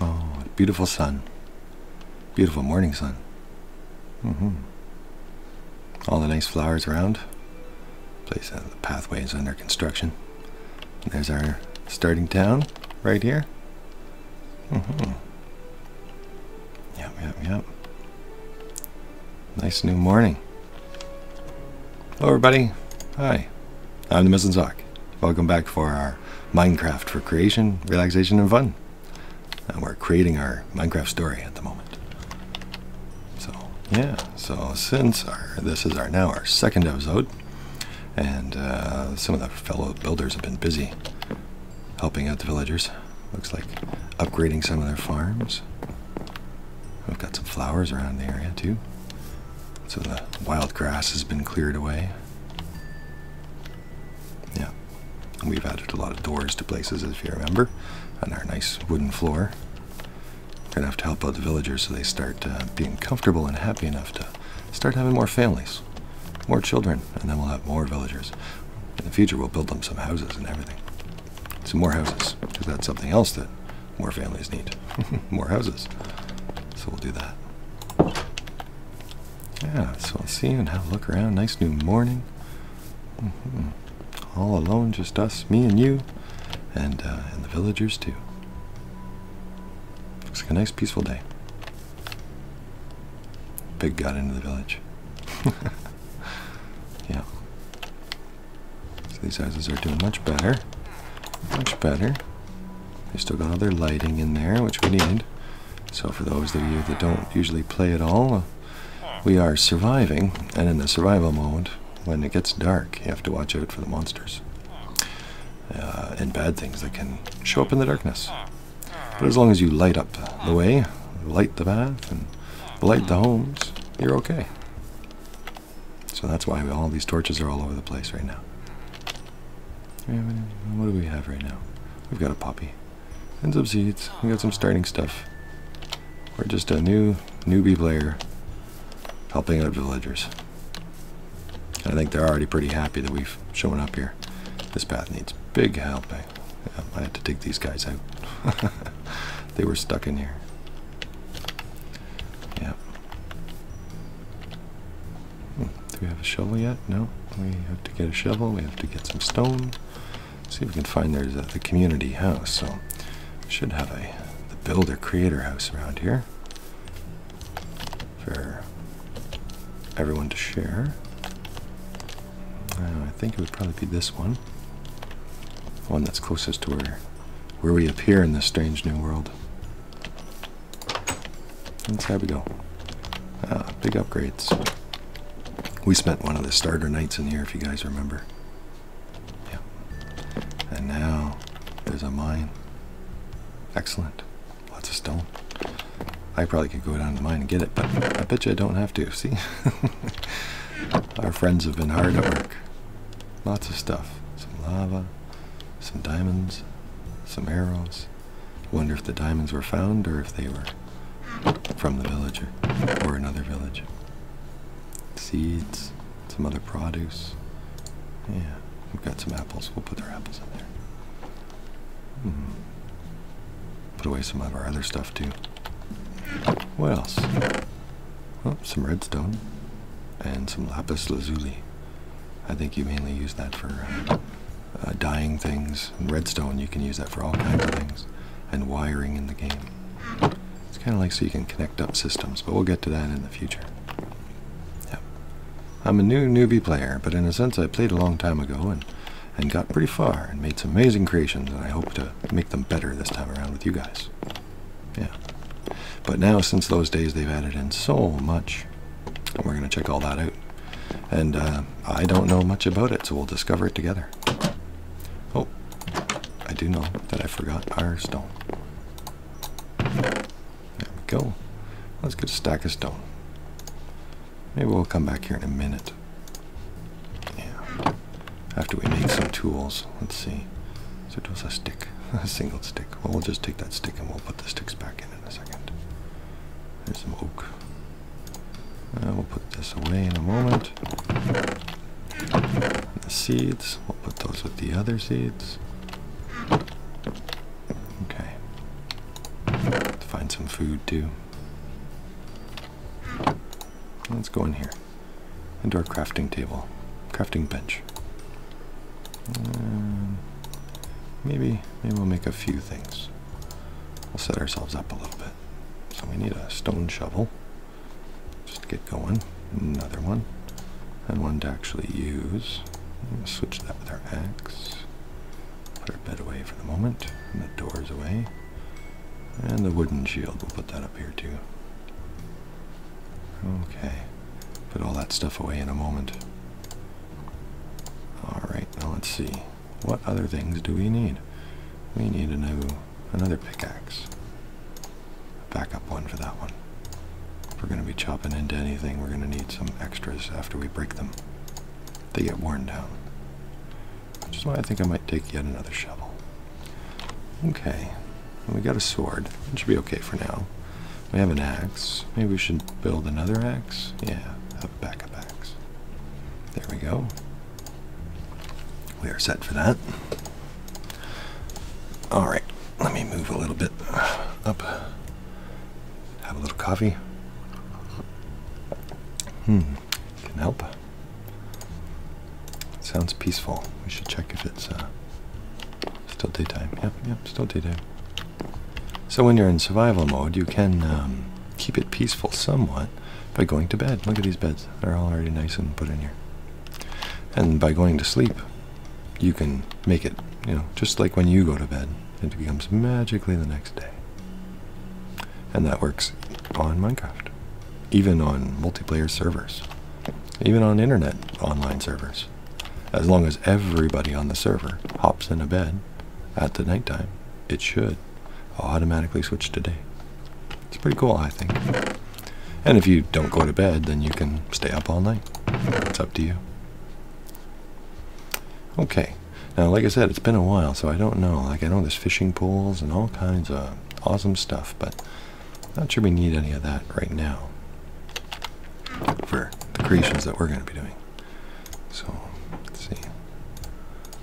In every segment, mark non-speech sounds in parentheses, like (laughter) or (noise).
Oh, beautiful sun. Beautiful morning sun. Mm-hmm. All the nice flowers around. Place out uh, of the pathways under construction. there's our starting town right here. Mm-hmm. Yep, yep, yep. Nice new morning. Hello, everybody. Hi, I'm the Missing Welcome back for our Minecraft for creation, relaxation, and fun. And uh, we're creating our Minecraft story at the moment. So, yeah. So since our this is our now our second episode, and uh, some of the fellow builders have been busy helping out the villagers. Looks like upgrading some of their farms. We've got some flowers around the area too. So the wild grass has been cleared away. Yeah, we've added a lot of doors to places, if you remember, on our nice wooden floor. Gonna have to help out the villagers so they start uh, being comfortable and happy enough to start having more families, more children, and then we'll have more villagers. In the future, we'll build them some houses and everything. Some more houses, because that's something else that more families need. (laughs) more houses. So we'll do that. Yeah, so I'll see you and have a look around. Nice new morning. Mm-hmm. All alone, just us, me and you, and, uh, and the villagers too. Looks like a nice peaceful day. Big got into the village. (laughs) yeah. So these houses are doing much better. Much better. They still got all their lighting in there, which we need. So for those of you that don't usually play at all, we are surviving, and in the survival mode, when it gets dark, you have to watch out for the monsters. Uh, and bad things that can show up in the darkness. But as long as you light up the way, light the bath, and light the homes, you're okay. So that's why all these torches are all over the place right now. What do we have right now? We've got a poppy. And some seeds. We got some starting stuff. We're just a new newbie player helping out villagers. I think they're already pretty happy that we've shown up here. This path needs big help I um, have to take these guys out. (laughs) they were stuck in here. Yep. Hmm, do we have a shovel yet? No. We have to get a shovel. We have to get some stone. see if we can find there's a, community house. So we should have a builder creator house around here for everyone to share. Uh, I think it would probably be this one. The one that's closest to where, we appear in this strange new world. And so there we go. Ah, big upgrades. We spent one of the starter nights in here, if you guys remember. Yeah. And now there's a mine. Excellent. Lots of stone. I probably could go down to mine and get it, but I bet you I don't have to. See? (laughs) Our friends have been hard at work. Lots of stuff. Some lava, some diamonds, some arrows. Wonder if the diamonds were found or if they were from the villager or another village. Seeds, some other produce. Yeah, we've got some apples. We'll put their apples in there. Hmm. Put away some of our other stuff too. What else? Oh, some redstone and some lapis lazuli. I think you mainly use that for uh, uh, dyeing things. And redstone, you can use that for all kinds of things. And wiring in the game. It's kind of like so you can connect up systems, but we'll get to that in the future. Yep. I'm a new newbie player, but in a sense I played a long time ago, and and got pretty far and made some amazing creations, and I hope to make them better this time around with you guys. Yeah. But now, since those days, they've added in so much, and we're going to check all that out. And uh, I don't know much about it, so we'll discover it together. Oh, I do know that I forgot our stone. There we go. Let's get a stack of stone. Maybe we'll come back here in a minute. Yeah. After we make some tools. Let's see. So it was a stick. (laughs) a single stick. Well, we'll just take that stick and we'll put the sticks back in in a second. There's some oak. Uh, we'll put this away in a moment. the seeds. We'll put those with the other seeds. Okay. Find some food too. Let's go in here. Into our crafting table, crafting bench. Um, maybe, maybe we'll make a few things. We'll set ourselves up a little bit. So we need a stone shovel. Just to get going. Another one. And one to actually use. Switch that with our axe. Put our bed away for the moment, and the is away. And the wooden shield, we'll put that up here too. Okay, put all that stuff away in a moment. Alright, now let's see. What other things do we need? We need a new, another pickaxe. A Backup one for that one. If we're going to be chopping into anything, we're going to need some extras after we break them. They get worn down. Which is why I think I might take yet another shovel. Okay. we got a sword. It should be okay for now. We have an axe. Maybe we should build another axe. Yeah, a backup axe. There we go. We are set for that. Alright, let me move a little bit up have a little coffee. Hmm, can help. sounds peaceful. We should check if it's uh, still daytime. Yep, yep, still daytime. So when you're in survival mode, you can um, keep it peaceful somewhat by going to bed. Look at these beds. They're all already nice and put in here. And by going to sleep, you can make it, you know, just like when you go to bed it becomes magically the next day. And that works on Minecraft, even on multiplayer servers, even on internet online servers. As long as everybody on the server hops in a bed at the nighttime, it should automatically switch to day. It's pretty cool, I think. And if you don't go to bed, then you can stay up all night. It's up to you. Okay, now, like I said, it's been a while, so I don't know. Like, I know there's fishing pools and all kinds of awesome stuff, but not sure we need any of that right now for the creations that we're going to be doing. So, let's see.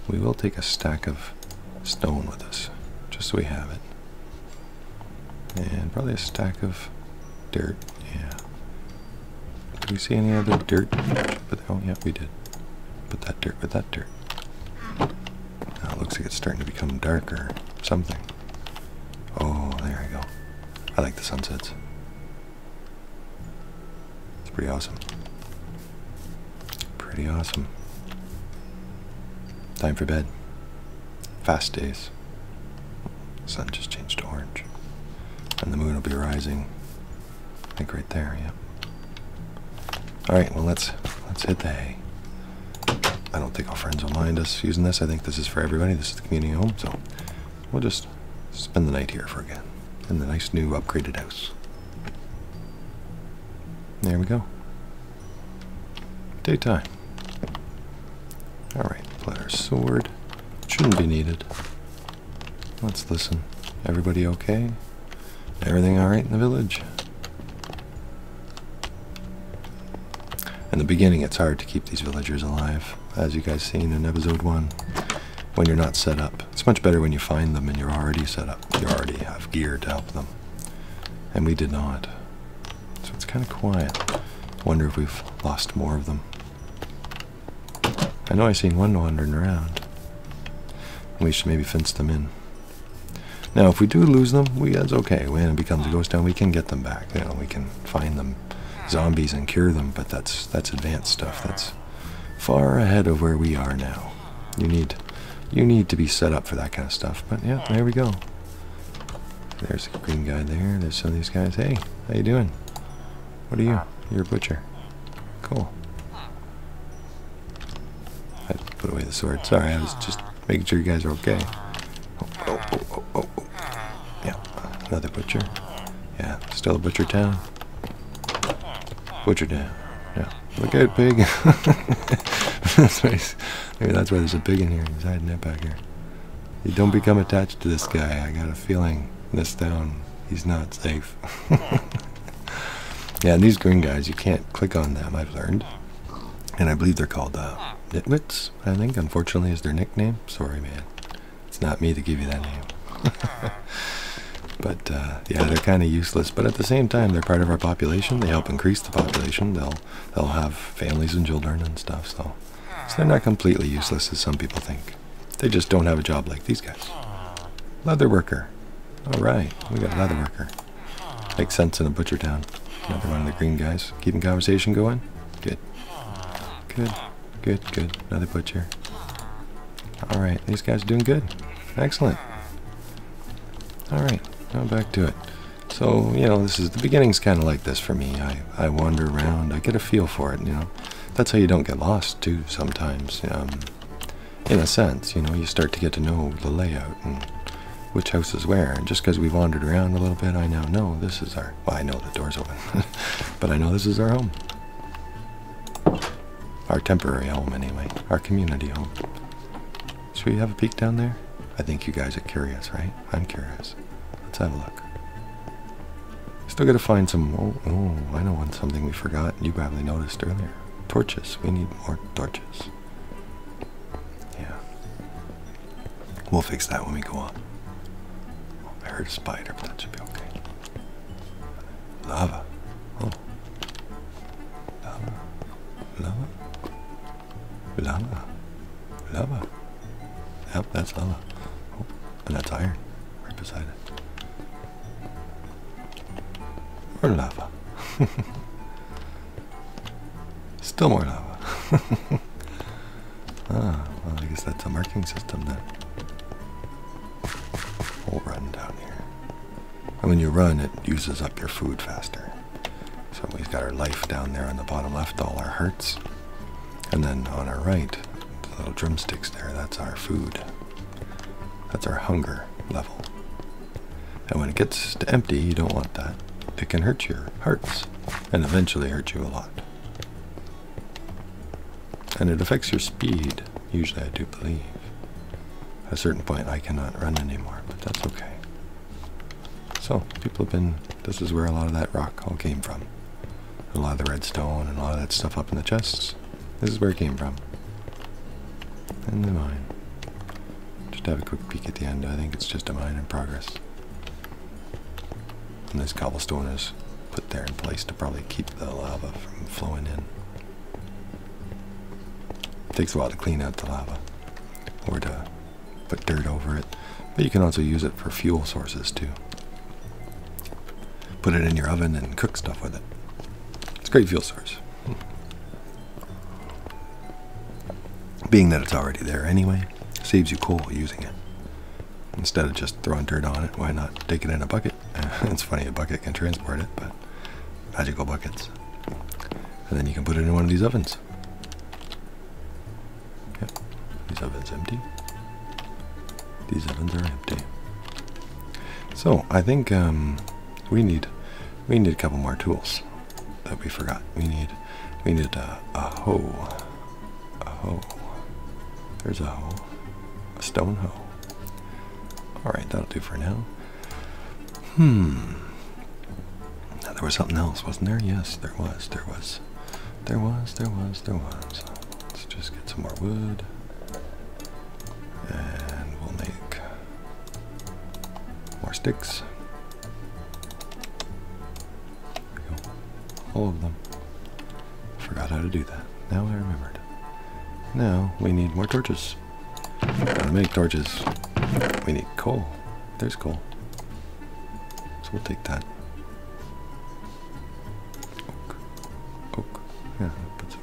We will take a stack of stone with us, just so we have it. And probably a stack of dirt, yeah. Did we see any other dirt? oh yeah, we did. Put that dirt with that dirt. Now it looks like it's starting to become darker. Something. Oh, there we go. I like the sunsets. It's pretty awesome. Pretty awesome. Time for bed. Fast days. The sun just changed to orange. And the moon will be rising I think right there, yep. All right, well let's let's hit the hay. I don't think our friends will mind us using this. I think this is for everybody. This is the community home, so we'll just spend the night here for again in the nice new upgraded house. There we go. Daytime. All right, let our sword. Shouldn't be needed. Let's listen. Everybody okay? Everything alright in the village? In the beginning, it's hard to keep these villagers alive, as you guys seen in episode 1, when you're not set up. It's much better when you find them and you're already set up. You already have gear to help them. And we did not. So it's kind of quiet. Wonder if we've lost more of them. I know I seen one wandering around. We should maybe fence them in. Now, if we do lose them, we that's okay. When it becomes a ghost town, we can get them back. You know, we can find them zombies and cure them, but that's that's advanced stuff. That's far ahead of where we are now. You need you need to be set up for that kind of stuff. But yeah, there we go. There's a green guy there. There's some of these guys. Hey, how you doing? What are you? Ah. You're a butcher. Cool. I put away the sword. Sorry, I was just making sure you guys are okay. Oh, oh, oh, oh, oh. Yeah, another butcher. Yeah, still a butcher town. Butcher down. Yeah. Look out, pig. (laughs) that's why maybe that's why there's a pig in here. He's hiding it back here. You don't become attached to this guy. I got a feeling this down. He's not safe. (laughs) yeah, and these green guys, you can't click on them, I've learned. And I believe they're called uh, Nitwits, I think, unfortunately, is their nickname. Sorry, man. It's not me to give you that name. (laughs) but uh, yeah, they're kind of useless. But at the same time, they're part of our population. They help increase the population. They'll they'll have families and children and stuff. So, so they're not completely useless as some people think. They just don't have a job like these guys. Leather worker. All right, we got leather worker. Makes sense in a butcher town. Another one of the green guys. Keeping conversation going? Good. Good, good, good. Another butcher. All right, these guys doing good. Excellent. All right, now back to it. So, you know, this is the beginning's kind of like this for me. I, I wander around, I get a feel for it, you know that's how you don't get lost too sometimes um, in a sense you know you start to get to know the layout and which house is where and just because we wandered around a little bit i now know this is our i know the door's open (laughs) but i know this is our home our temporary home anyway our community home should we have a peek down there i think you guys are curious right i'm curious let's have a look Still gotta find some, oh, oh, I know one something we forgot, you probably noticed earlier. Torches, we need more torches. Yeah. We'll fix that when we go up. I heard a spider, but that should be okay. Lava. Oh. Lava. Lava. Lava. Lava. Yep, that's lava. Oh, and that's iron. Right beside it. China. Or lava. (laughs) Still more lava. (laughs) ah, well, I guess that's a marking system then. We'll run down here. And when you run, it uses up your food faster. So we've got our life down there on the bottom left, all our hearts. And then on our right, the little drumsticks there, that's our food. That's our hunger level. And when it gets to empty, you don't want that. It can hurt your hearts and eventually hurt you a lot. And it affects your speed, usually I do believe. At a certain point I cannot run anymore, but that's okay. So, people have been, this is where a lot of that rock all came from a lot of the redstone and a lot of that stuff up in the chests. This is where it came from. And the mine. Just have a quick peek at the end. I think it's just a mine in progress. And this cobblestone is put there in place to probably keep the lava from flowing in. It takes a while to clean out the lava or to put dirt over it. But you can also use it for fuel sources too put it in your oven and cook stuff with it. It's a great fuel source. Being that it's already there anyway, saves you coal using it. Instead of just throwing dirt on it, why not take it in a bucket? (laughs) it's funny, a bucket can transport it, but magical buckets. And then you can put it in one of these ovens. Yep, these ovens empty. These ovens are empty. So I think um, we need we need a couple more tools that we forgot. We need we need a, hoe, a hoe. There's a hoe, stone hoe. All right, that'll do for now. Hmm. Now, there was something else, wasn't there? Yes, there was. There was. There was, there was, there was. Let's just get some more wood. And we'll make more sticks. All of them. Forgot how to do that. Now I remembered. Now we need more torches. Gotta make torches. We need coal. There's coal. So we'll take that. Oak. Oak. Yeah, that puts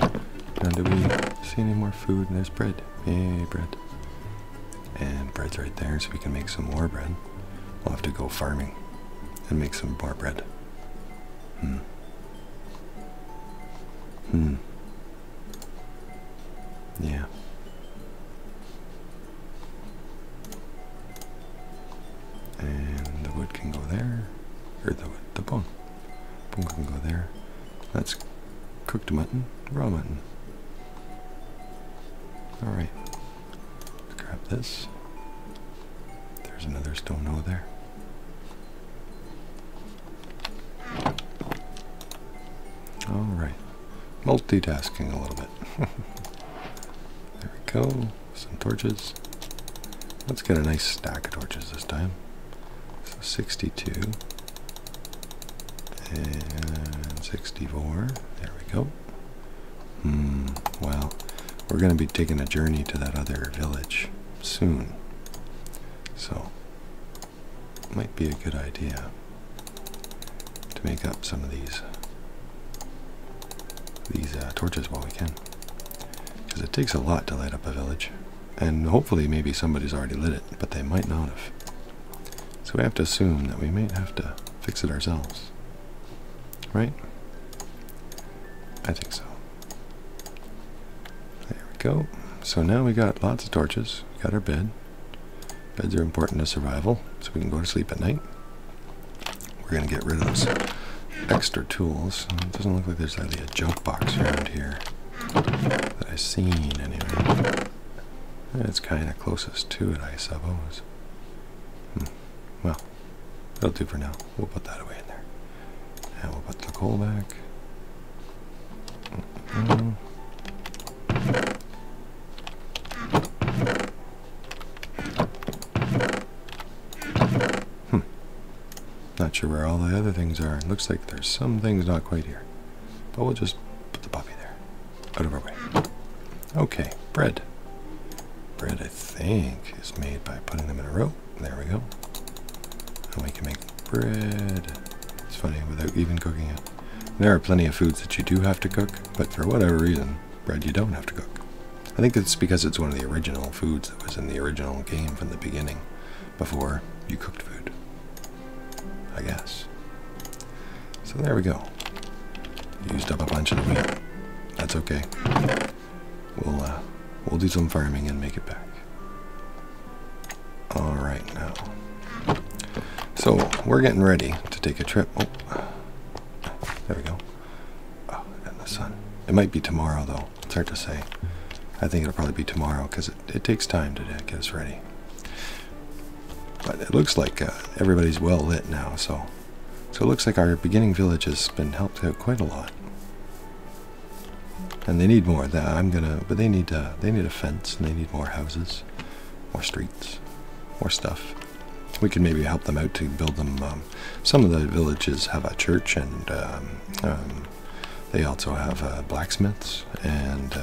away. Uh, do we see any more food? There's bread. Yay, bread. And bread's right there, so we can make some more bread. We'll have to go farming and make some more bread. Hmm. Hmm. Yeah. And the wood can go there. Or the, the bone. Bone can go there. That's cooked mutton, raw mutton. Alright. Grab this. There's another stone over there. Alright. Multitasking a little bit. (laughs) there we go. Some torches. Let's get a nice stack of torches this time. So 62 and 64. There we go. Hmm, well, we're going to be taking a journey to that other village soon. So, might be a good idea to make up some of these these uh, torches while we can, because it takes a lot to light up a village, and hopefully maybe somebody's already lit it, but they might not have. So we have to assume that we might have to fix it ourselves, right? I think so. There we go. So now we got lots of torches. got our bed. Beds are important to survival, so we can go to sleep at night. We're going to get rid of those extra tools. doesn't look like there's really a junk box around here that I've seen, anyway. Eh, it's kind of closest to it, I suppose. Hmm, well, that'll do for now. We'll put that away in there. And we'll put the coal back. Hmm. Not sure where all the other things are. looks like there's some things not quite here. But we'll just put the puppy there. Out of our way. Okay, bread. Bread, I think, is made by putting them in a row. There we go. And we can make bread. It's funny, without even cooking it. There are plenty of foods that you do have to cook, but for whatever reason, bread you don't have to cook. I think it's because it's one of the original foods that was in the original game from the beginning, before you cooked food. I guess. So there we go. Used up a bunch of wheat. That's okay. We'll uh, we'll do some farming and make it back. All right now. So we're getting ready to take a trip. Oh. There we go. Oh, and the sun. It might be tomorrow, though. It's hard to say. I think it'll probably be tomorrow because it, it takes time to get us ready. But it looks like uh, everybody's well lit now, so so it looks like our beginning village has been helped out quite a lot. And they need more. That I'm gonna, but they need uh, they need a fence and they need more houses, more streets, more stuff we could maybe help them out to build them. Um, some of the villages have a church, and um, um, they also have uh, blacksmiths and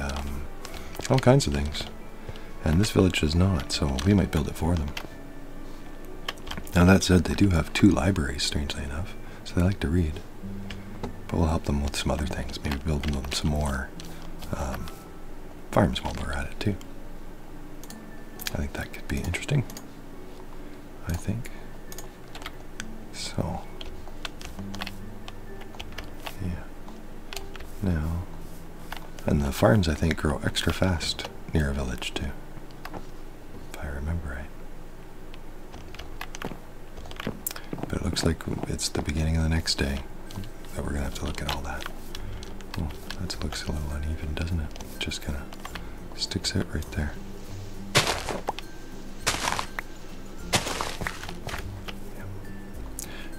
all kinds of things. And this village does not, so we might build it for them. Now that said, they do have two libraries, strangely enough, so they like to read. But we'll help them with some other things, maybe build them some more farms while we're at it too. I think that could be interesting. I think. So yeah. Now and the farms I think grow extra fast near a village too. If I remember right. But it looks like it's the beginning of the next day that we're gonna have to look at all that. that looks a little uneven, doesn't it? Just kind of sticks out right there.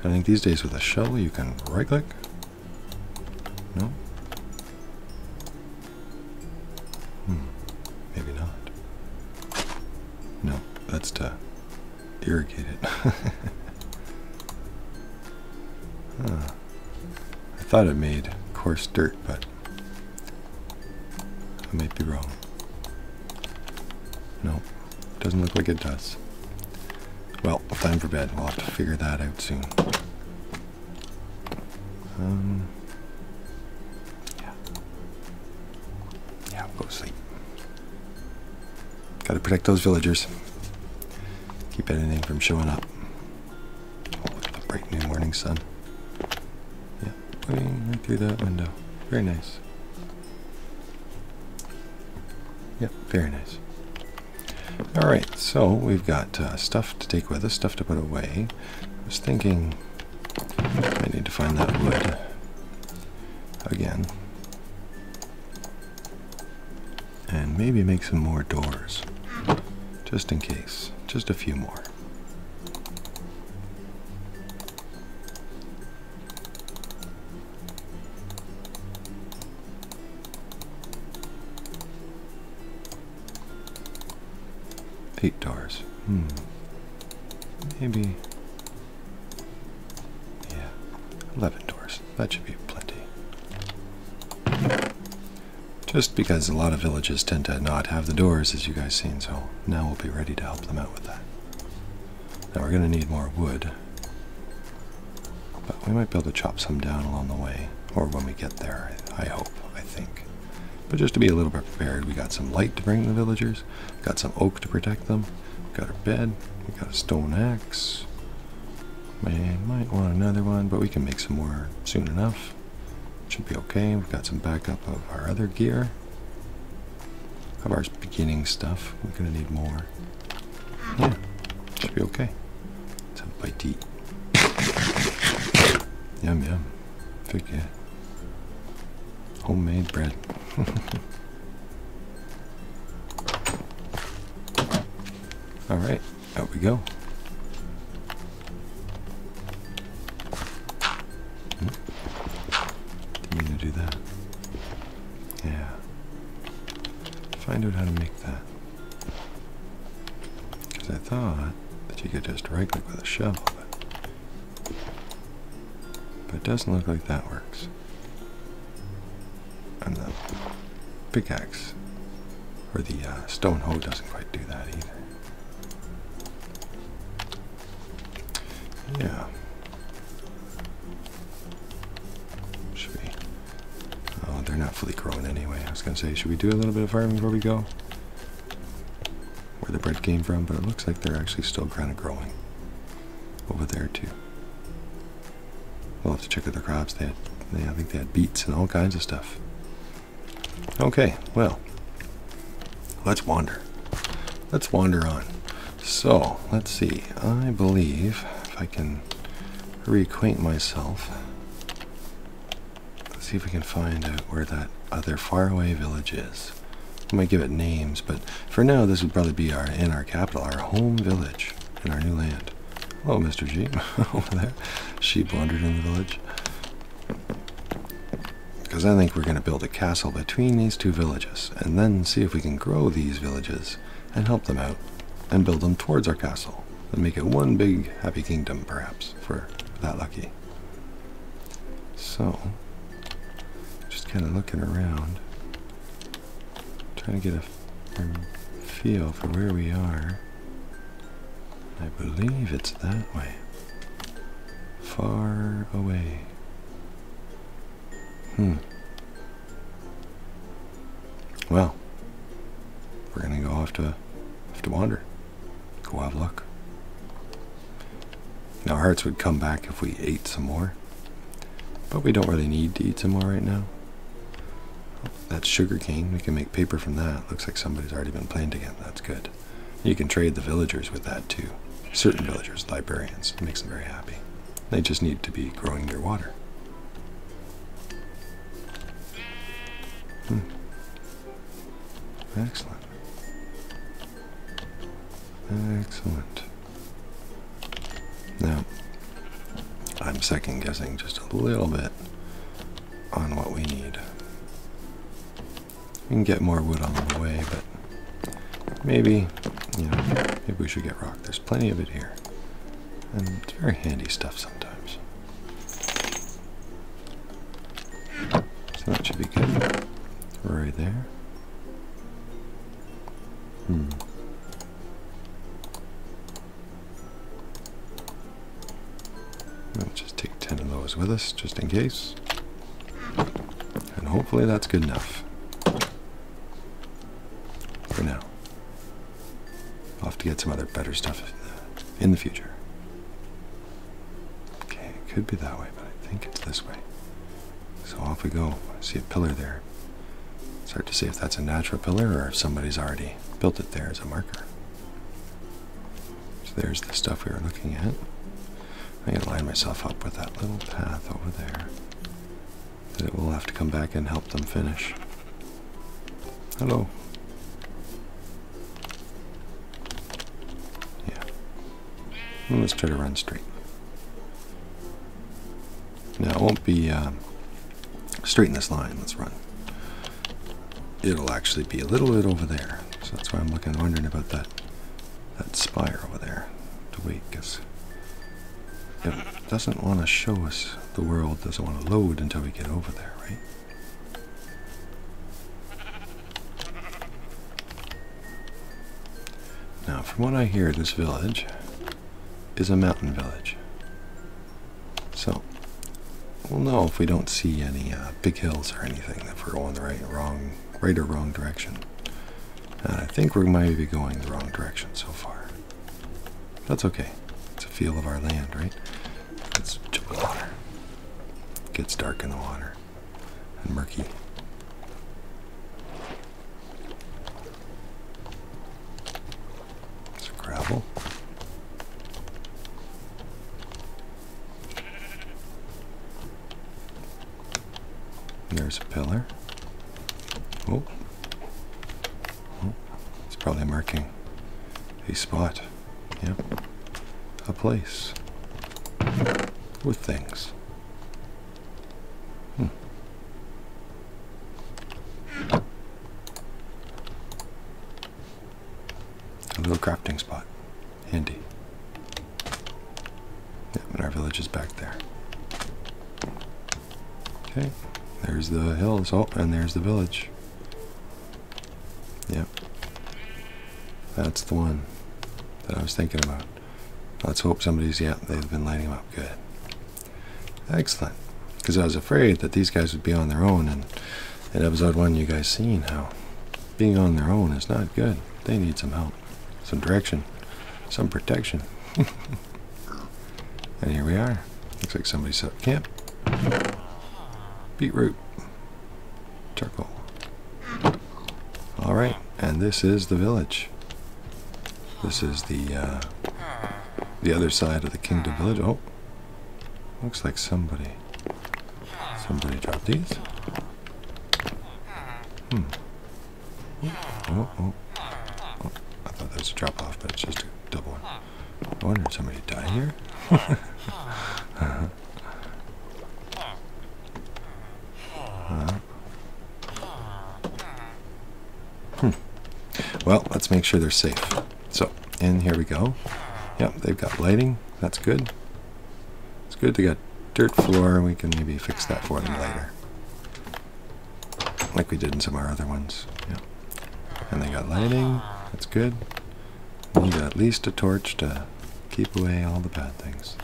I think these days with a shovel you can right click. No? Hmm. Maybe not. No, that's tough irrigate it. (laughs) I thought it made coarse dirt, but I might be wrong. No, doesn't look like it does. Well, time for bed. We'll have to figure that out soon. Um, yeah. Yeah, go sleep. Gotta protect those villagers. Keep anything from showing up. Oh, the bright new morning sun. Yeah, putting right through that window. Very nice. Yep, very nice. Alright, so we've got uh, stuff to take with us, stuff to put away. I was thinking I need to find that wood again. And maybe make some more doors. Just in case. Just a few more. Eight doors. Hmm. Maybe yeah, 11 doors. That should be plenty. Just because a lot of villages tend to not have the doors, as you guys seen, so now we'll be ready to help them out with that. Now we're going to need more wood, but we might be able to chop some down along the way, or when we get there, I hope, I think. But just to be a little bit prepared, we got some light to bring the villagers, got some oak to protect them, we got our bed. We got a stone axe. We might want another one, but we can make some more soon enough. Should be okay. We've got some backup of our other gear. Of our beginning stuff. We're going to need more. Yeah, should be okay. Let's have a bite (coughs) yum, yum. Fig yeah. Homemade bread. (laughs) Alright, there we go. Didn't mean to do that. Yeah. Find out how to make that. Because I thought that you could just right click with a shovel, but it doesn't look like that works and the pickaxe or the uh, stone hoe doesn't quite do that either. Yeah. Should we? Oh, they're not fully grown anyway. I was gonna say, should we do a little bit of farming before we go? Where the bread came from, but it looks like they're actually still kind of growing over there too. We'll have to check out other crops. They had, I think they had beets and all kinds of stuff. Okay, well, let's wander. Let's wander on. So, let's see. I believe if I can reacquaint myself. Let's see if we can find out where that other faraway village is. We might give it names, but for now this would probably be our in our capital, our home village in our new land. Hello, oh, Mr. G, (laughs) over there. Sheep wandered in the village. Because I think we're going to build a castle between these two villages, and then see if we can grow these villages and help them out, and build them towards our castle, and make it one big happy kingdom, perhaps, for that lucky. So, just kind of looking around trying to get a feel for where we are. I believe it's that way. Far away. Hmm. Well, we're gonna go off to off to wander. Go have a look. Now, our hearts would come back if we ate some more. But we don't really need to eat some more right now. That's sugar cane. We can make paper from that. Looks like somebody's already been planting it. That's good. You can trade the villagers with that too. Certain villagers, librarians. makes them very happy. They just need to be growing their water. Hmm. Excellent. Excellent. Now, I'm second guessing just a little bit on what we need. We can get more wood on the way, but maybe, you know, maybe we should get rock. There's plenty of it here. And it's very handy stuff sometimes. So that should be good. Right there. Hmm. Might just take 10 of those with us, just in case. And hopefully that's good enough. For now. I'll have to get some other better stuff in the future. Okay, it could be that way, but I think it's this way. So off we go. see a pillar there. Start to see if that's a natural pillar or if somebody's already built it there as a marker. So there's the stuff we were looking at. I gotta line myself up with that little path over there. That it will have to come back and help them finish. Hello. Yeah. Let's try to run straight. Now, it won't be uh, straight in this line. Let's run. It'll actually be a little bit over there. So that's why I'm looking, wondering about that that spire over there to wait because it doesn't want to show us the world doesn't want to load until we get over there right now from what I hear this village is a mountain village. So we'll know if we don't see any uh, big hills or anything if we're going the right, wrong, right or wrong direction. And I think we might be going the wrong direction so far. That's okay. It's a feel of our land, right? Let's water. gets dark in the water and murky. It's gravel. There's a pillar. Oh. oh. It's probably marking a spot. Yep. A place. With things. Hmm. A little crafting spot. Handy. Yeah, but our village is back there. Okay, there's the hills. Oh, and there's the village. Yep. That's the one that I was thinking about. Let's hope somebody's, yeah. they've been lighting them up good. Excellent. Because I was afraid that these guys would be on their own, and in episode one, you guys seen how being on their own is not good. They need some help, some direction, some protection. (laughs) and here we are. Looks like somebody set up camp. Beetroot. Turtle. Alright, and this is the village. This is the uh, the other side of the Kingdom Village. Oh, looks like somebody somebody dropped these. Hmm. Oh, oh, oh. I thought there was a drop off, but it's just a double one. I wonder if somebody died here. (laughs) -huh. Uh-huh. Hmm. Well, let's make sure they're safe. So, and here we go. Yep, they've got lighting. That's good. It's good they got dirt floor, we can maybe fix that for them later. Like we did in some of our other ones. Yeah. And they got lighting. That's good. Need at least a torch to keep away all the bad things.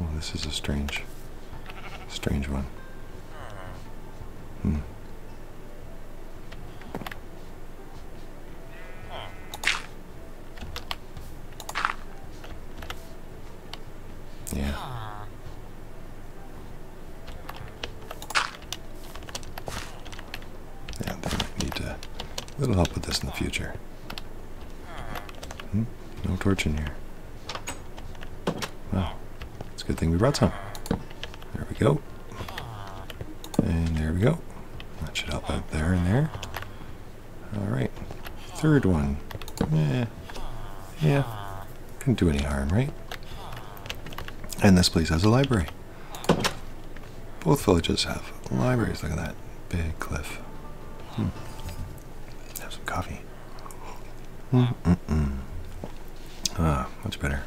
Oh, this is a strange, strange one. Hmm. Yeah. Yeah, they might need to. It'll help with this in the future. Hmm? No torch in here. Wow. It's a good thing we brought some. There we go. And there we go. That should help out there and there. Alright. Third one. Yeah. Yeah. Couldn't do any harm, right? And this place has a library. Both villages have libraries. Look at that. Big cliff. Hmm. Have some coffee. Ah, much better.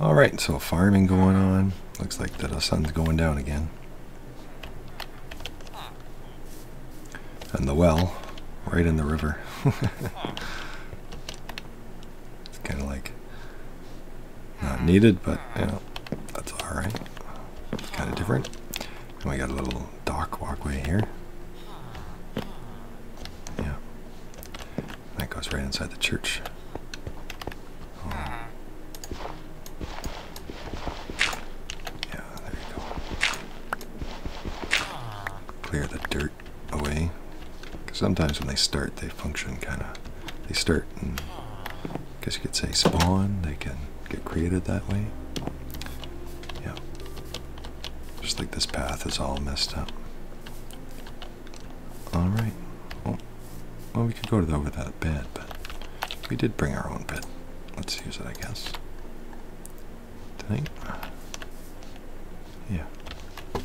All right, so farming going on. Looks like the sun's going down again. And the well, right in the river. (laughs) it's kind of like not needed, but you know, that's all right. kind of different. And we got a little dock walkway here. Yeah. That goes right inside the church. Oh. Yeah, there you go. Clear the dirt away. Cause sometimes when they start, they function kind of. They start and guess you could say spawn. They can get created that way. Yeah. Just like this path is all messed up. Alright. Well, well, we could go to there without bed, but we did bring our own bed. Let's use it, I guess. Tonight? Yeah. I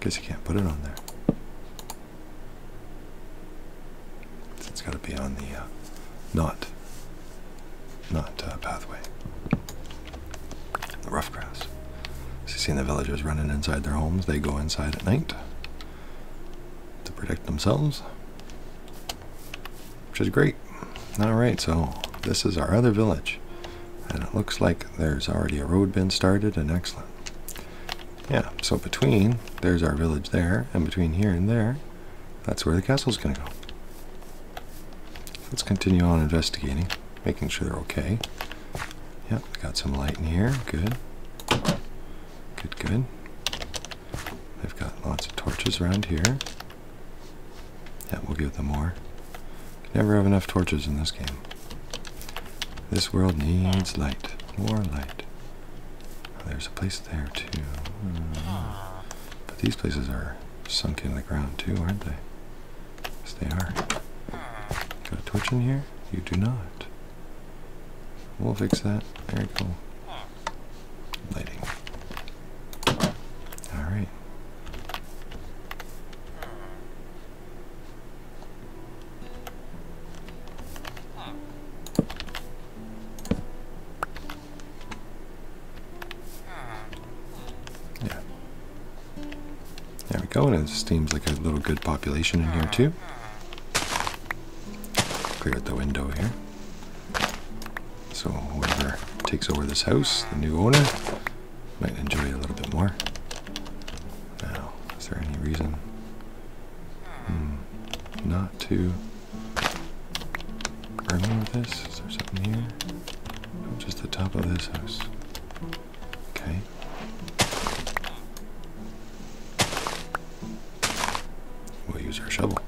guess you can't put it on there. It's got to be on the uh, not not uh, pathway. The rough grass. you see the villagers running inside their homes. They go inside at night to protect themselves, which is great. All right, so this is our other village, and it looks like there's already a road been started. And excellent. Yeah, so between, there's our village there, and between here and there, that's where the castle's going to go. Let's continue on investigating, making sure they're okay. Yep, got some light in here, good. Good, good. They've got lots of torches around here. Yeah, we'll give them more. never have enough torches in this game. This world needs light, more light. There's a place there too. Hmm. But these places are sunk in the ground too, aren't they? Yes, they are. Got a torch in here? You do not. We'll fix that. Very cool. Lighting. Alright. Yeah. There we go, and it seems like a little good population in here too. Clear out the window here. So whoever takes over this house, the new owner, might enjoy a little bit more. Now, is there any reason Hmm. Not too. to with this. Is there something here? just the top of this house. Okay. We'll use our shovel.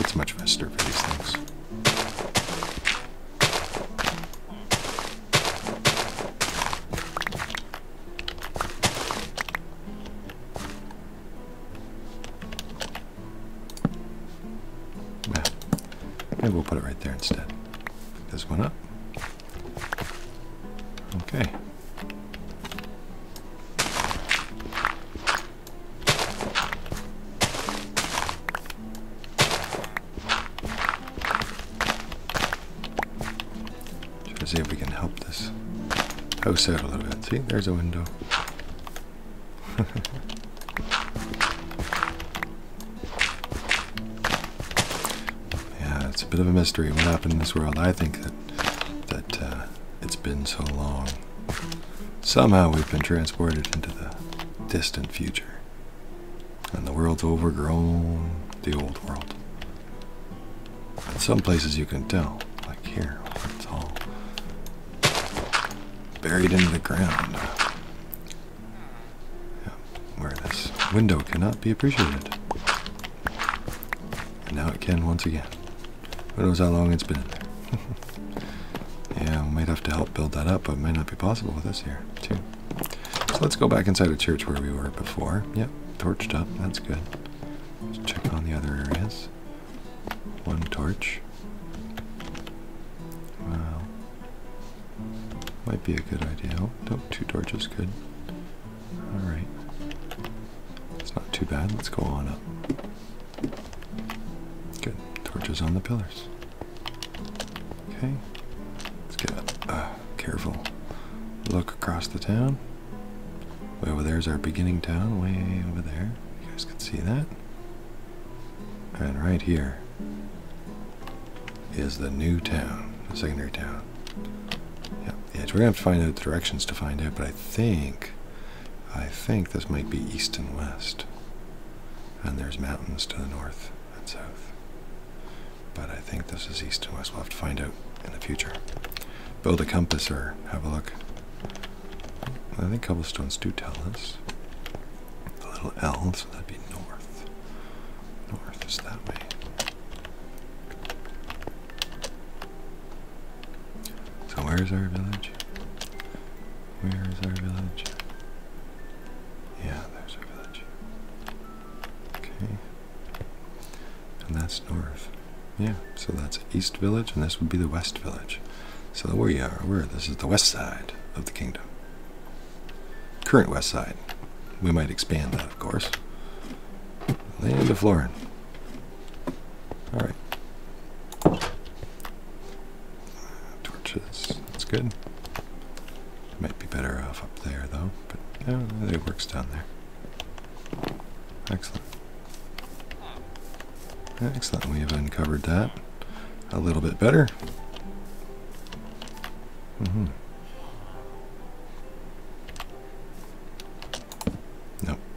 It's much faster for these things. Well, maybe we'll put it right there instead. this one up. Okay. Try to see if we can help this house out a little bit. See, there's a window. (laughs) yeah, it's a bit of a mystery what happened in this world. I think that that uh, it's been so long. Somehow we've been transported into the distant future and the world's overgrown, the old world. In some places you can tell, like here, it's all buried into the ground. where this window cannot be appreciated. And now it can once again. Who knows how long it's been in (laughs) there. yeah, we might have to help build that up, but it might not be possible with us here, too. So let's go back inside a church where we were before. Yep, torched up. That's good. Let's check on the other areas. One torch. Wow. Might be a good idea. Oh, no, two torches, good. Alright. It's not too bad. Let's go on up. Good. Torches on the pillars. Okay. Let's get up. Careful. Look across the town. Way over there is our beginning town, way over there. You guys can see that. And right here is the new town, the secondary town. Yep. Yeah, we're gonna have to find out the directions to find out, but I think I think this might be east and west. And there's mountains to the north and south but I think this is east and west. We'll have to find out in the future. Build a compass or have a look. I think cobblestones do tell us. The little L, so that'd be north. North is that way. So where is our village? Where is our village? Yeah, there's our village. Okay. And that's north. Yeah, so that's East Village, and this would be the West Village. So where you are, where this is the west side of the kingdom. Current west side. We might expand that, of course. Land of Florin. Alright. Torches. That's good. Might be better off up there though, but it works down there. Excellent. Excellent, we have uncovered that a little bit better. Mm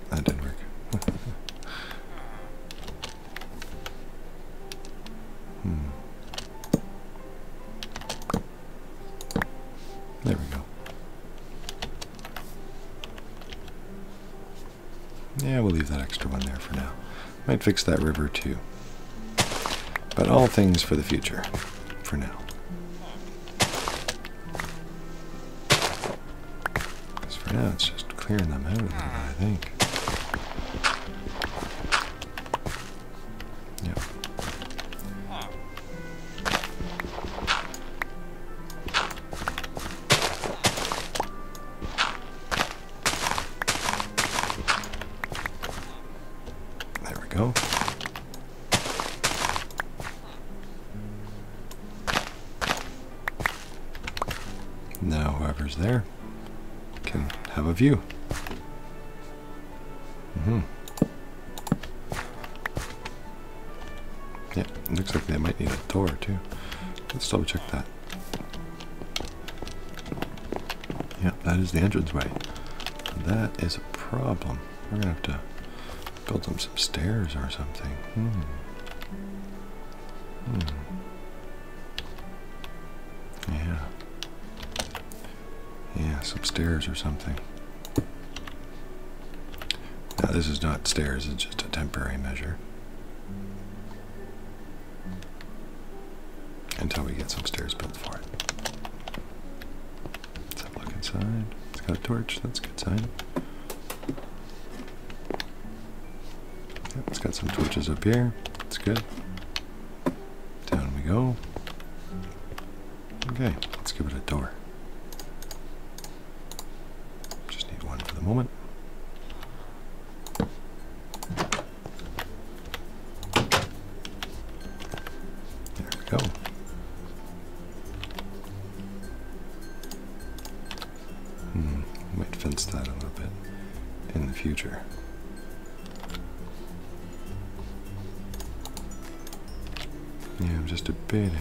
that didn't work. (laughs) Hmm. There we go. Yeah, we'll leave that extra one there for now. Might fix that river too. But all things for the future, for now. Because for now it's just clearing them out a little bit, I think. Yeah. There we go. Now whoever's there can have a view. Mm-hmm. Yeah, looks like they might need a door too. Let's double check that. Yeah, that is the entrance, entranceway. That is a problem. We're gonna have to build them some stairs or something. Hmm. Hmm. Yeah. Yeah, some stairs or something. Now this is not stairs, it's just a temporary measure. Until we get some stairs built for it. Let's have a look inside. It's got a torch, that's a good sign. it's got some torches up here, that's good. Down we go. Okay, let's give it a door. Just need one for the moment. There we go. Hmm, might fence that a little bit in the future. Yeah, I'm just a bit.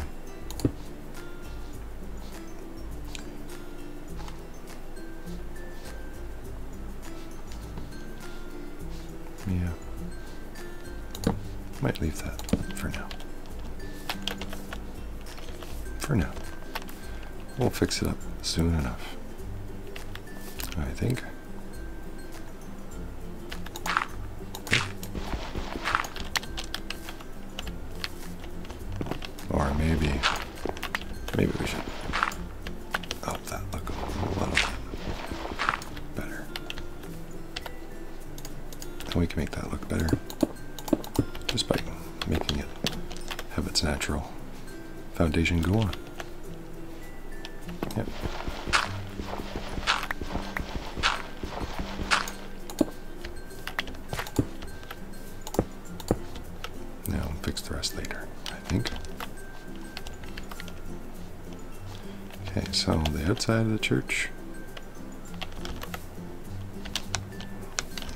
Yeah. Might leave that for now. For now. We'll fix it up soon enough. I think. Or maybe, maybe we should help that look a little bit better. And we can make that look better just by making it have its natural foundation go on. Yeah. Now fix the rest later, I think. Okay, so the outside of the church.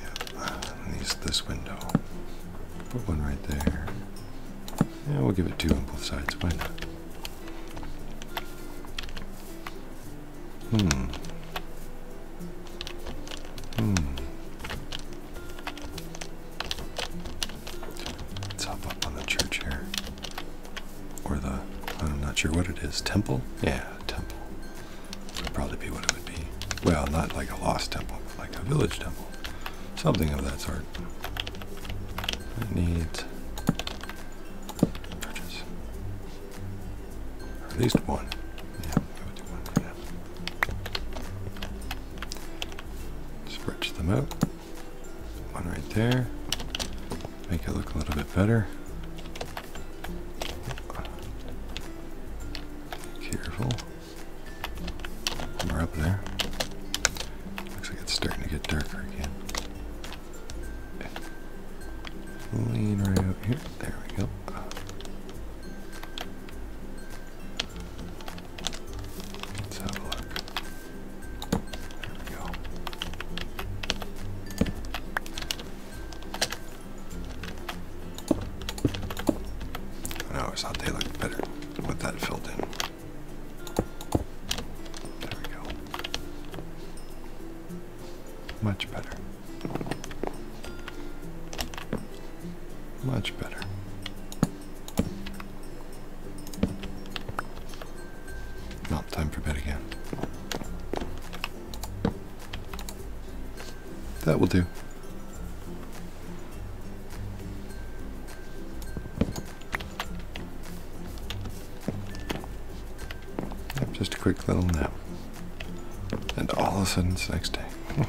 Yep, at least this window. Put one right there. Yeah, we'll give it two on both sides. Why not? Hmm. Hmm. Let's hop up on the church here. Or the, I'm not sure what it is. Temple? Yeah, temple. Would probably be what it would be. Well, not like a lost temple, like a village temple. Something of that sort. It needs at least one. Yeah, Stretch them out. One right there. Make it look a little bit better. Careful. We're up there. Looks like it's starting to get darker again. Lean right out here. There we go. Let's have a look. go. I always thought they looked better with that filled in. There we go. Much better. Much better. Not time for bed again. That will do just a quick little nap. And all of a sudden it's next day. (laughs)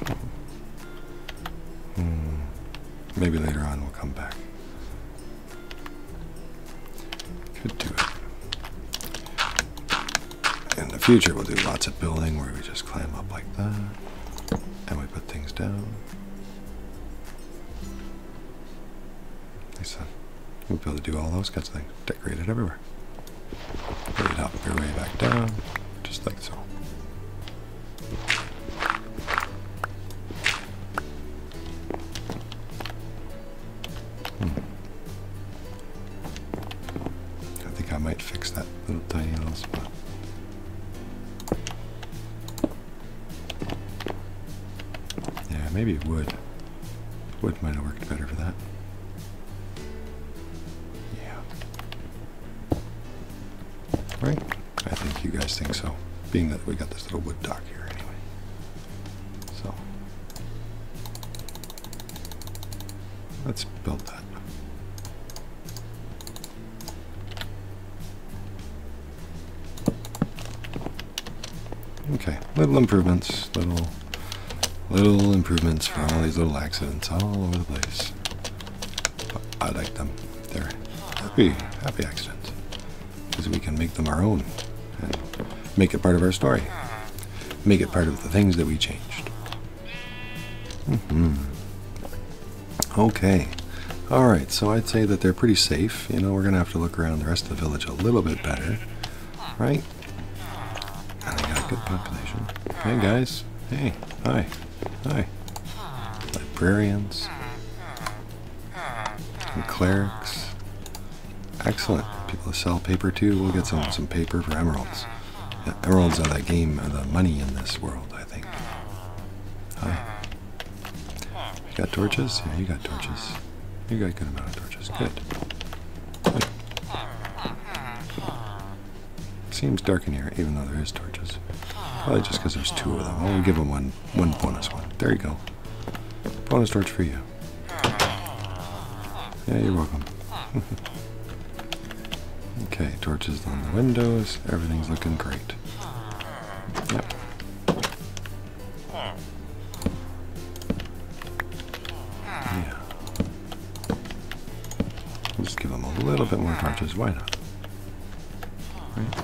Hmm. Maybe later on we'll come back. Could do it. In the future we'll do lots of building where we just climb up like that. And we put things down. I said, we'll be able to do all those kinds of things. Decorate everywhere. Put it up your way back down, just like so. Hmm. I think I might fix that little tiny little spot. Yeah, maybe wood. Wood might have worked better for that. Yeah. Right? I think you guys think so. Being that we got this little wood dock here anyway. So. Let's build that. Okay, little improvements, little, little improvements from all these little accidents all over the place. I like them. They're happy, happy accidents. Because we can make them our own and make it part of our story. Make it part of the things that we changed. -hmm. Okay. All right, so I'd say that they're pretty safe. You know, we're going to have to look around the rest of the village a little bit better. Right? And got a good population. Hey, guys. Hey. Hi. Hi. Librarians. And clerics. Excellent. People sell paper too. We'll get some, some paper for emeralds. emeralds are that game, of the money in this world, I think. Hi. You got torches? Yeah, you got torches. You got a good amount of torches. Good. Good. Seems dark in here, even though there is torches. Probably just because there's two of them. I'll give them one, one bonus one. There you go. Bonus torch for you. Yeah, you're welcome. (laughs) okay, torches on the windows. Everything's looking great. Yeah. We'll just give them a little bit more touches. Why not? Right.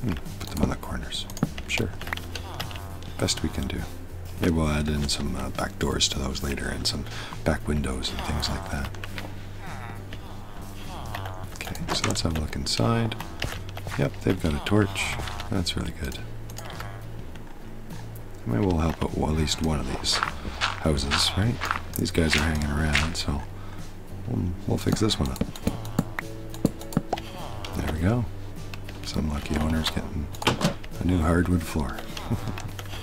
Hmm. Put them on the corners. Sure. Best we can do. Maybe we'll add in some uh, back doors to those later and some back windows and things like that. Okay, so let's have a look inside. Yep, they've got a torch. That's really good. Maybe we'll help out at least one of these houses, right? These guys are hanging around, so we'll fix this one up. There we go. Some lucky owner's getting a new hardwood floor.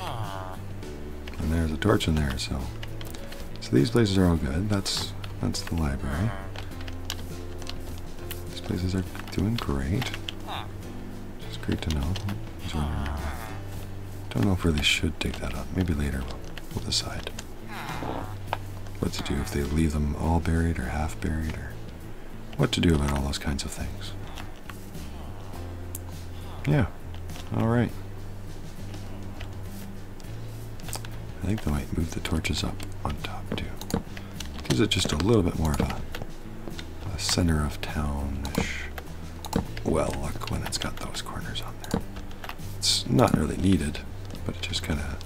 (laughs) and there's a torch in there, so so these places are all good. That's that's the library. These places are doing great. It's great to know. Don't know if we really should dig that up. Maybe later we'll decide what to do if they leave them all buried or half buried or what to do about all those kinds of things. Yeah, alright. I think they might move the torches up on top too. Gives it just a little bit more of a, a center of townish well look when it's got those corners on there. It's not really needed, but it just kind of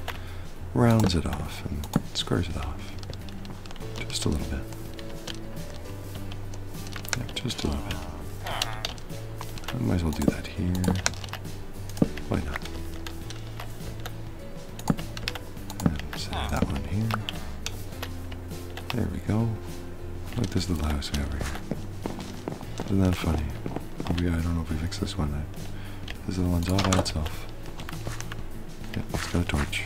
rounds it off and squares it off. Just a little bit. Yep, just a little bit. I might as well do that here. Why not? set that one here. There we go. Look, this little house have here. Isn't that funny? Oh yeah. I don't know if we fix this one. Right? This little one's all by itself let's go torch.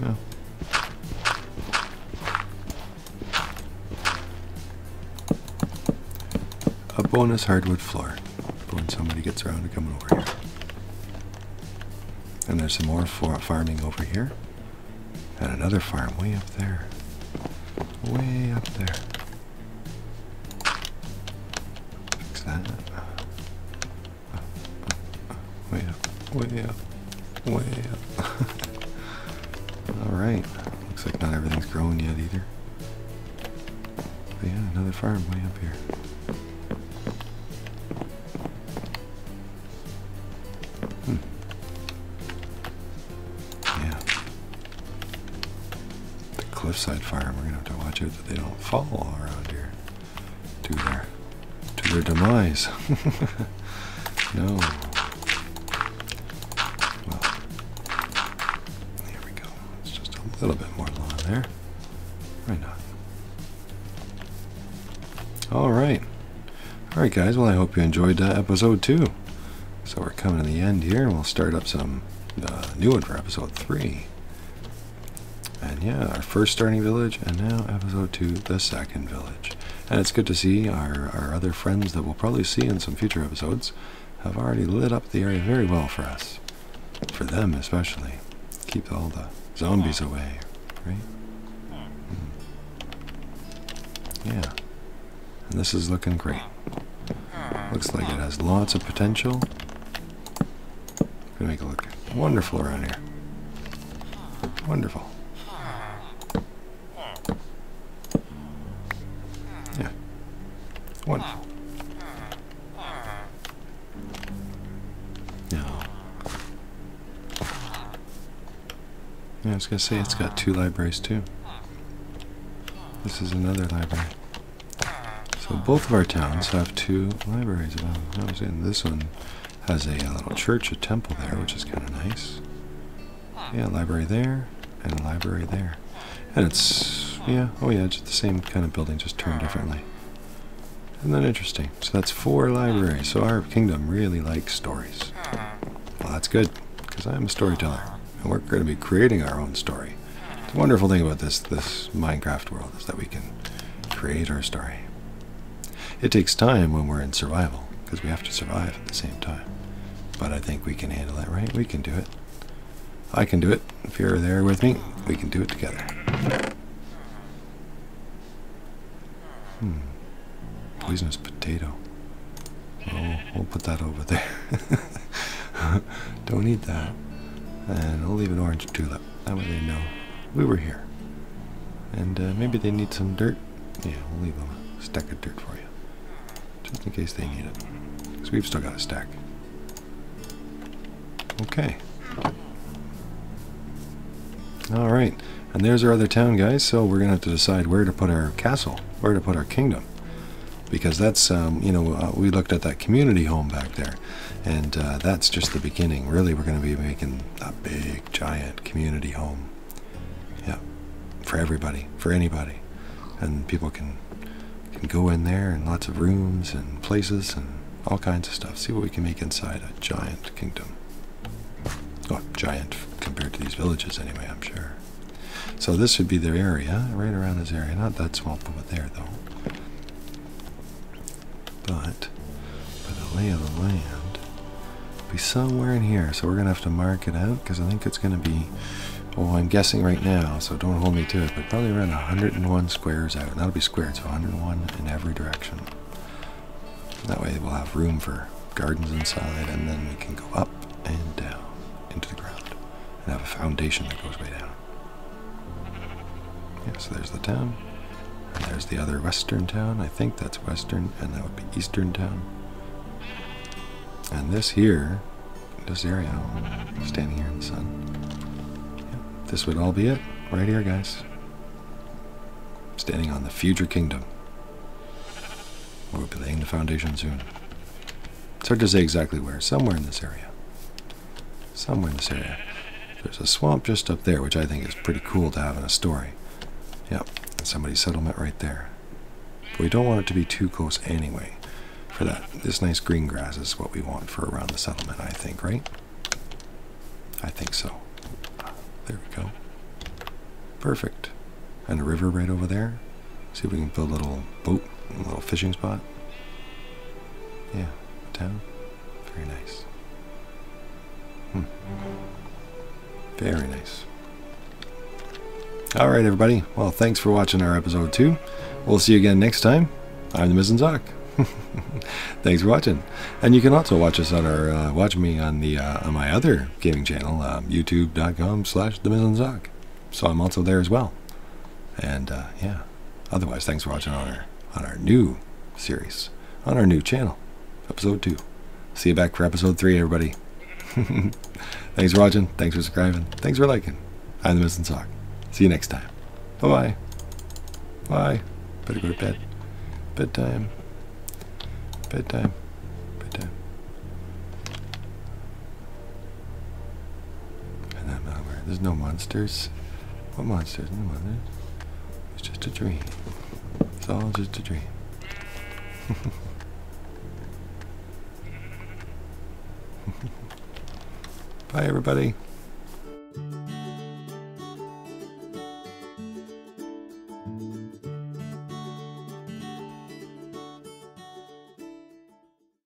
Well. A bonus hardwood floor. When somebody gets around to coming over here. And there's some more farming over here. And another farm way up there. Way up there. Fix that. Way up, way up, way up. Alright. Looks like not everything's growing yet either. yeah, another farm way up here. Hmm. Yeah the cliffside fire, and we're gonna have to watch out that they don't fall around here to their to their demise. (laughs) no. Well, there we go. It's just a little bit more lawn there. Why not? All right. All right, guys. Well, I hope you enjoyed uh, episode two. So we're coming to the end here, and we'll start up some uh, new one for episode three. And yeah, our first starting village, and now episode two, the second village. And it's good to see our, our other friends that we'll probably see in some future episodes have already lit up the area very well for us. For them especially. Keep all the zombies away, right? Hmm. Yeah. And this is looking great. Hmm. Looks like it has lots of potential. Gonna make it look wonderful around here. Wonderful. Yeah. One. No. Yeah, I was gonna say it's got two libraries too. This is another library. So both of our towns have two libraries. Well, I was in this one has a, uh, little church, a temple there, which is kind of nice. Yeah, library there, and library there. And it's, yeah, oh yeah, just the same kind of building, just turned differently. And not interesting? So that's four libraries. So our kingdom really likes stories. Well, that's good, because I'm a storyteller, and we're going to be creating our own story. The wonderful thing about this this Minecraft world is that we can create our story. It takes time when we're in survival because we have to survive at the same time. But I think we can handle that, right? We can do it. I can do it. If you're there with me, we can do it together. Hmm. Poisonous potato. Oh, we'll put that over there. (laughs) (laughs) Don't eat that. And I'll leave an orange tulip. That way they know we were here. And uh, maybe they need some dirt. Yeah, we'll leave them a stack of dirt for you. Just in case they need it. Because we've still got a stack. Okay. Alright. And there's our other town, guys. So we're going to have to decide where to put our castle. Where to put our kingdom because that's um, you know uh, we looked at that community home back there and uh, that's just the beginning really we're going to be making a big giant community home yeah for everybody for anybody and people can can go in there and lots of rooms and places and all kinds of stuff see what we can make inside a giant kingdom oh giant compared to these villages anyway i'm sure so this would be the area right around this area not that small over there though but by the lay of the land, be somewhere in here. So we're gonna have to mark it out because I think it's gonna be. oh I'm guessing right now, so don't hold me to it, but probably around 101 squares out. that'll be squared, so 101 in every direction. That way we'll have room for gardens inside, and then we can go up and down into the ground and have a foundation that goes way down. Yeah, so there's the town. And there's the other western town. I think that's western, and that would be eastern town. And this here, this area, standing here in the sun. this would all be it, right here, guys. Standing on the future kingdom. We'll be laying the foundation soon. It's hard to say exactly where, somewhere in this area. Somewhere in this area. There's a swamp just up there, which I think is pretty cool to have in a story. Yep, somebody's settlement right there. But we don't want it to be too close anyway for that. This nice green grass is what we want for around the settlement, I think, right? I think so. There we go. Perfect. And the river right over there. See if we can build a little boat, a little fishing spot. Yeah, town. Very nice. Hmm. Very nice. All right, everybody. Well, thanks for watching our episode two. We'll see you again next time. I'm the Mizzen (laughs) Thanks for watching, and you can also watch us on our uh, watch me on the uh, on my other gaming channel, um, YouTube.com/slash The Mizzen so I'm also there as well. And uh, yeah, otherwise, thanks for watching on our on our new series on our new channel, episode two. See you back for episode three, everybody. (laughs) thanks for watching. Thanks for subscribing. Thanks for liking. I'm the missing sock. See you next time. Bye bye. Bye. Better go to bed. Bedtime. Bedtime. Bedtime. And that malware. There's no monsters. What monsters? No monsters. It's just a dream. It's all just a dream. (laughs) Bye, everybody.